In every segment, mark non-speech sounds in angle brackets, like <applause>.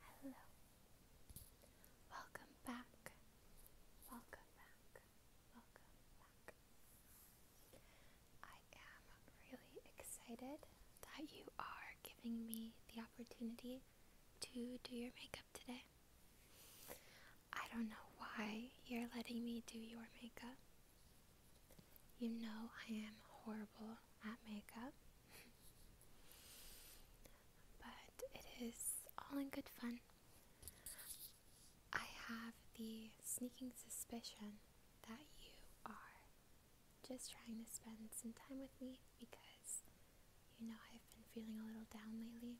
Hello. Welcome back. Welcome back. Welcome back. I am really excited that you are giving me the opportunity to do your makeup today. I don't know why you're letting me do your makeup. You know I am horrible at makeup. But it is all in good fun. I have the sneaking suspicion that you are just trying to spend some time with me because you know I've been feeling a little down lately.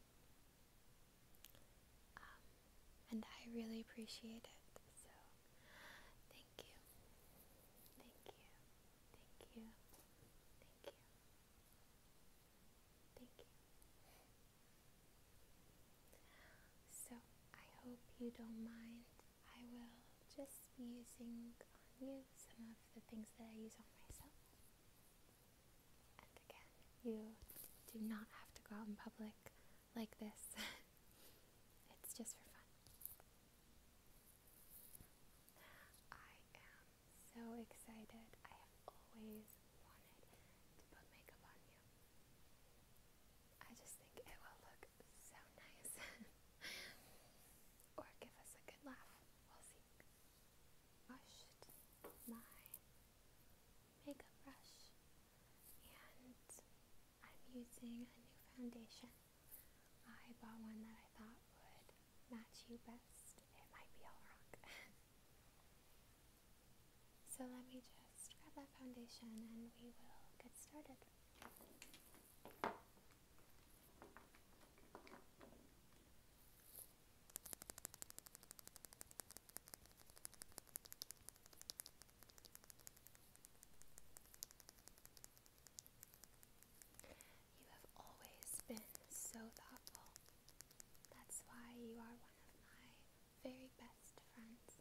Um, and I really appreciate it. So, thank you. Thank you. Thank you. Thank you. Thank you. So, I hope you don't mind. I will just be using on you some of the things that I use on myself. And again, you do not have to go out in public like this, <laughs> it's just for fun. I am so excited. I have always wanted to put makeup on you. I just think it will look so nice. <laughs> or give us a good laugh. We'll see. Washed my makeup brush and I'm using a new foundation. I bought one that I thought would match you best. It might be all rock. <laughs> so let me just grab that foundation and we will get started. You have always been so thoughtful. That's why you are one of my very best friends.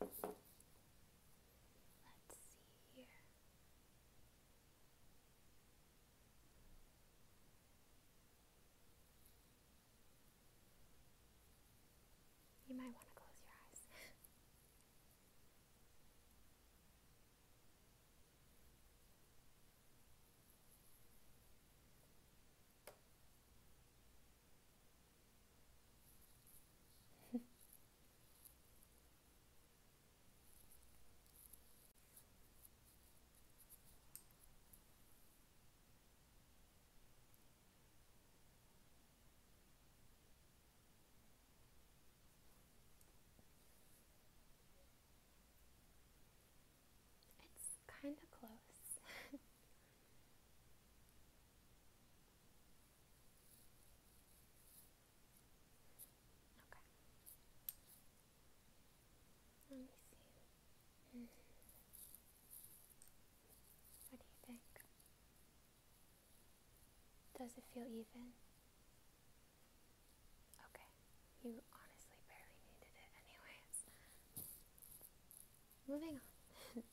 Let's see here. You might want to close your eyes it's kind of close. <laughs> Let me see. Hmm. What do you think? Does it feel even? Okay, you honestly barely needed it, anyways. Moving on. <laughs>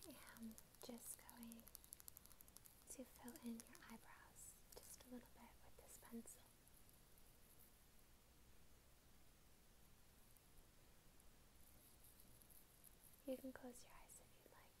I am just going to fill in your eyebrows just a little bit with this pencil. You can close your eyes if you'd like.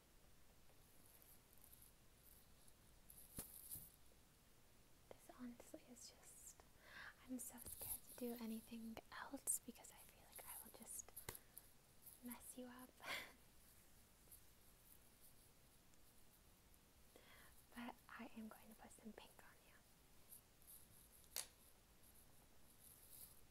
This honestly is just. I'm so scared to do anything else because I feel like I will just mess you up. <laughs> but I am going to put some pink on you.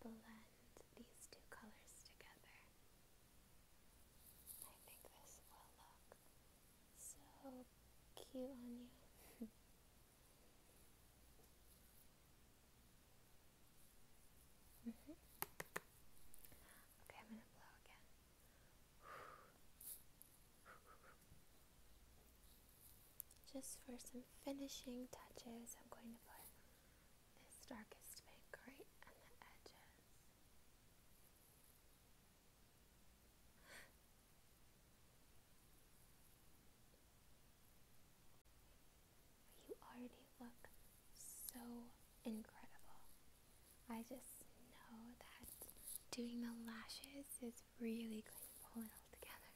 blend these two colors together. I think this will look so cute on you. <laughs> <sighs> Just for some finishing touches, I'm going to put this darkest pink right on the edges. You already look so incredible. I just know that doing the lashes is really going to pull it all together.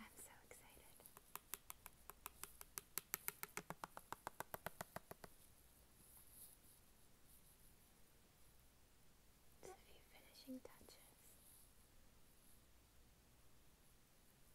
I'm so excited. a few finishing touches.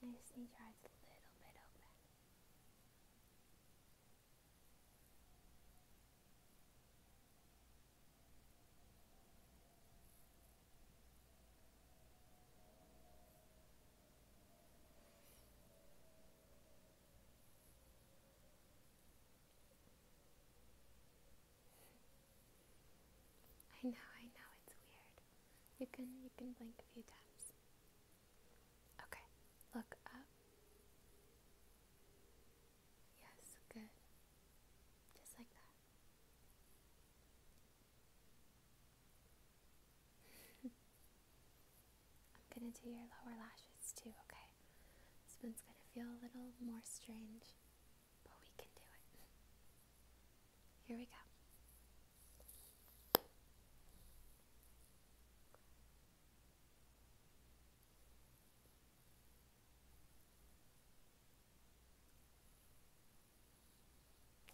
I just need your eyes a little bit open. I know, I know it's weird. You can you can blink a few times. Okay. Look up. Yes, good. Just like that. I'm gonna do your lower lashes too, okay? This one's gonna feel a little more strange, but we can do it. Here we go.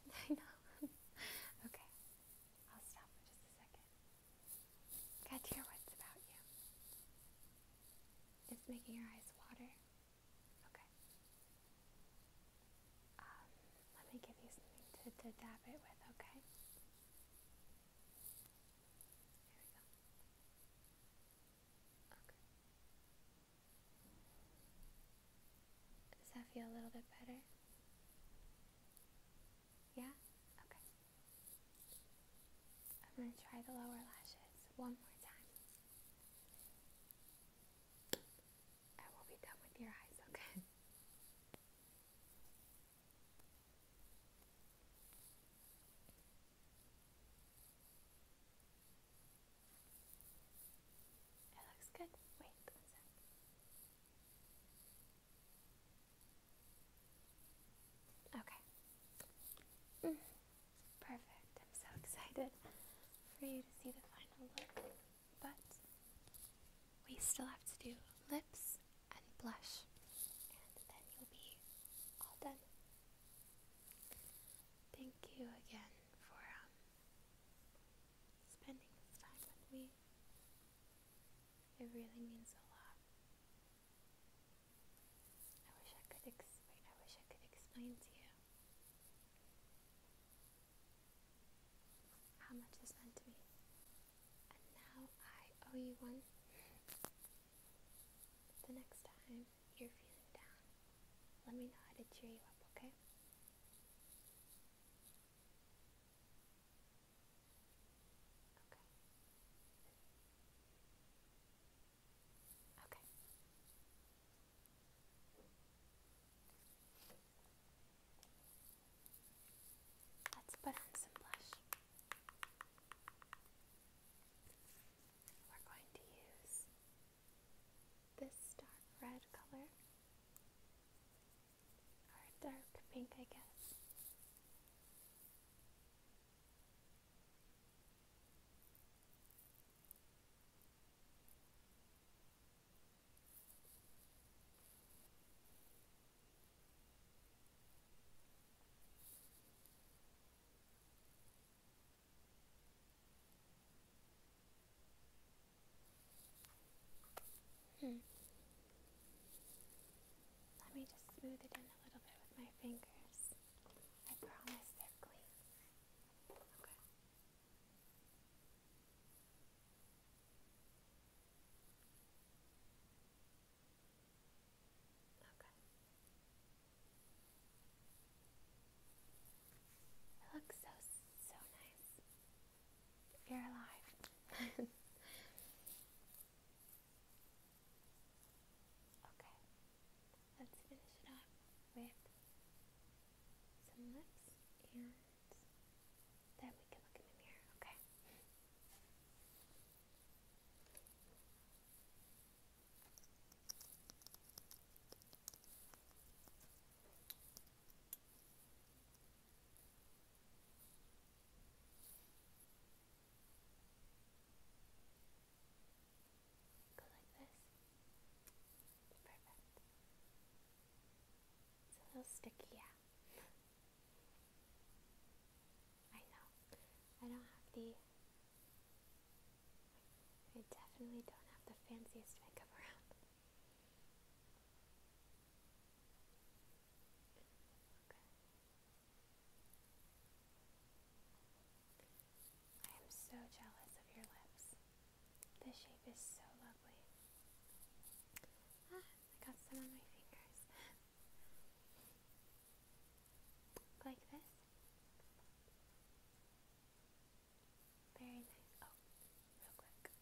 <laughs> I know. <laughs> okay. I'll stop for just a second. Got to hear about you. It's making your eyes water. Okay. Um, let me give you something to, to dab it with, okay? There we go. Okay. Does that feel a little bit better? Yeah? Okay. I'm going to try the lower lashes one more time. I will be done with your eyes, okay? It looks good. Wait Okay. Mm. Perfect. I'm so excited for you to see the final look. But we still have to do lips and blush, and then you'll be all done. Thank you again for um, spending this time with me. It really means a lot. I wish I could explain. I wish I could explain to you how much this meant to me, and now I owe you one. The next time you're feeling down, let me know how to cheer you up. Okay? Okay. Let's put on some blush. We're going to use this dark red color dark pink, I guess. Hmm. Let me just smooth it in a little bit with my fingers. I promise they're clean. Okay. Okay. It looks so, so nice. You're alive. okay, let's finish it up with some lips and then we can look in the mirror, okay? Go like this. Perfect. It's a little sticky, yeah. I know. I don't have the. I definitely don't have the fanciest makeup around. I am so jealous of your lips. This shape is so lovely. Ah, I got some on my fingers. <laughs> like this. Very nice. Oh, real quick.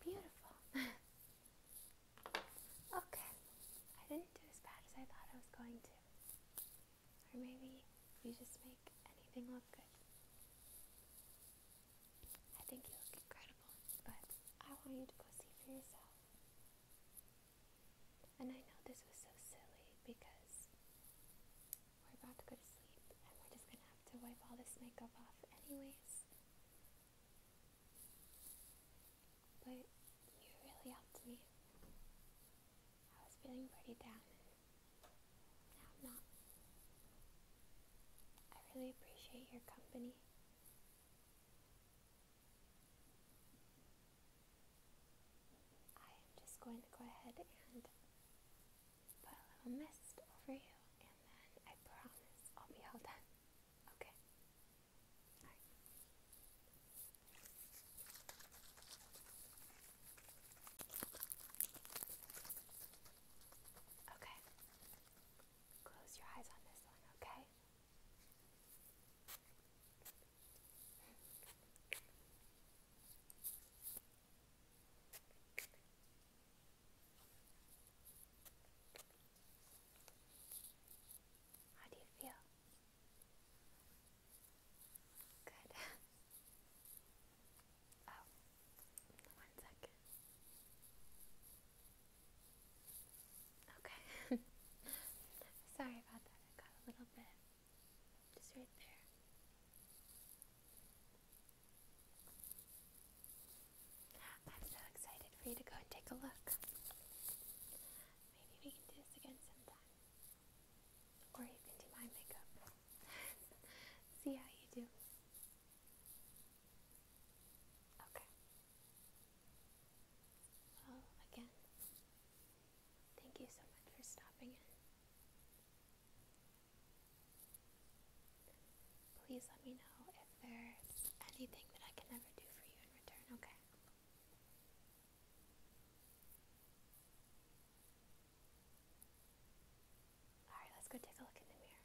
Beautiful. <laughs> okay. I didn't do as bad as I thought I was going to. Or maybe you just make anything look good. I think you look incredible, but I want you to go see for yourself. And I know this was so silly because we're about to go to sleep and we're just gonna have to wipe all this makeup off anyways. But you really helped me. I was feeling pretty down and now I'm not. I really appreciate your company. I am just going to go ahead and put a little mist over you, and then I promise I'll be all done. Okay? Okay. Close your eyes on this one, okay? How do you feel? Good. <laughs> oh, one second. Okay. <laughs> Sorry about that. I got a little bit. Just right there. I'm so excited for you to go and take a look. Maybe we can do this again sometime. Or you can do my makeup. <laughs> See how you do. Okay. Well, again, thank you so much for stopping in. Please let me know if there's anything that I can ever do for you in return, okay? Alright, let's go take a look in the mirror.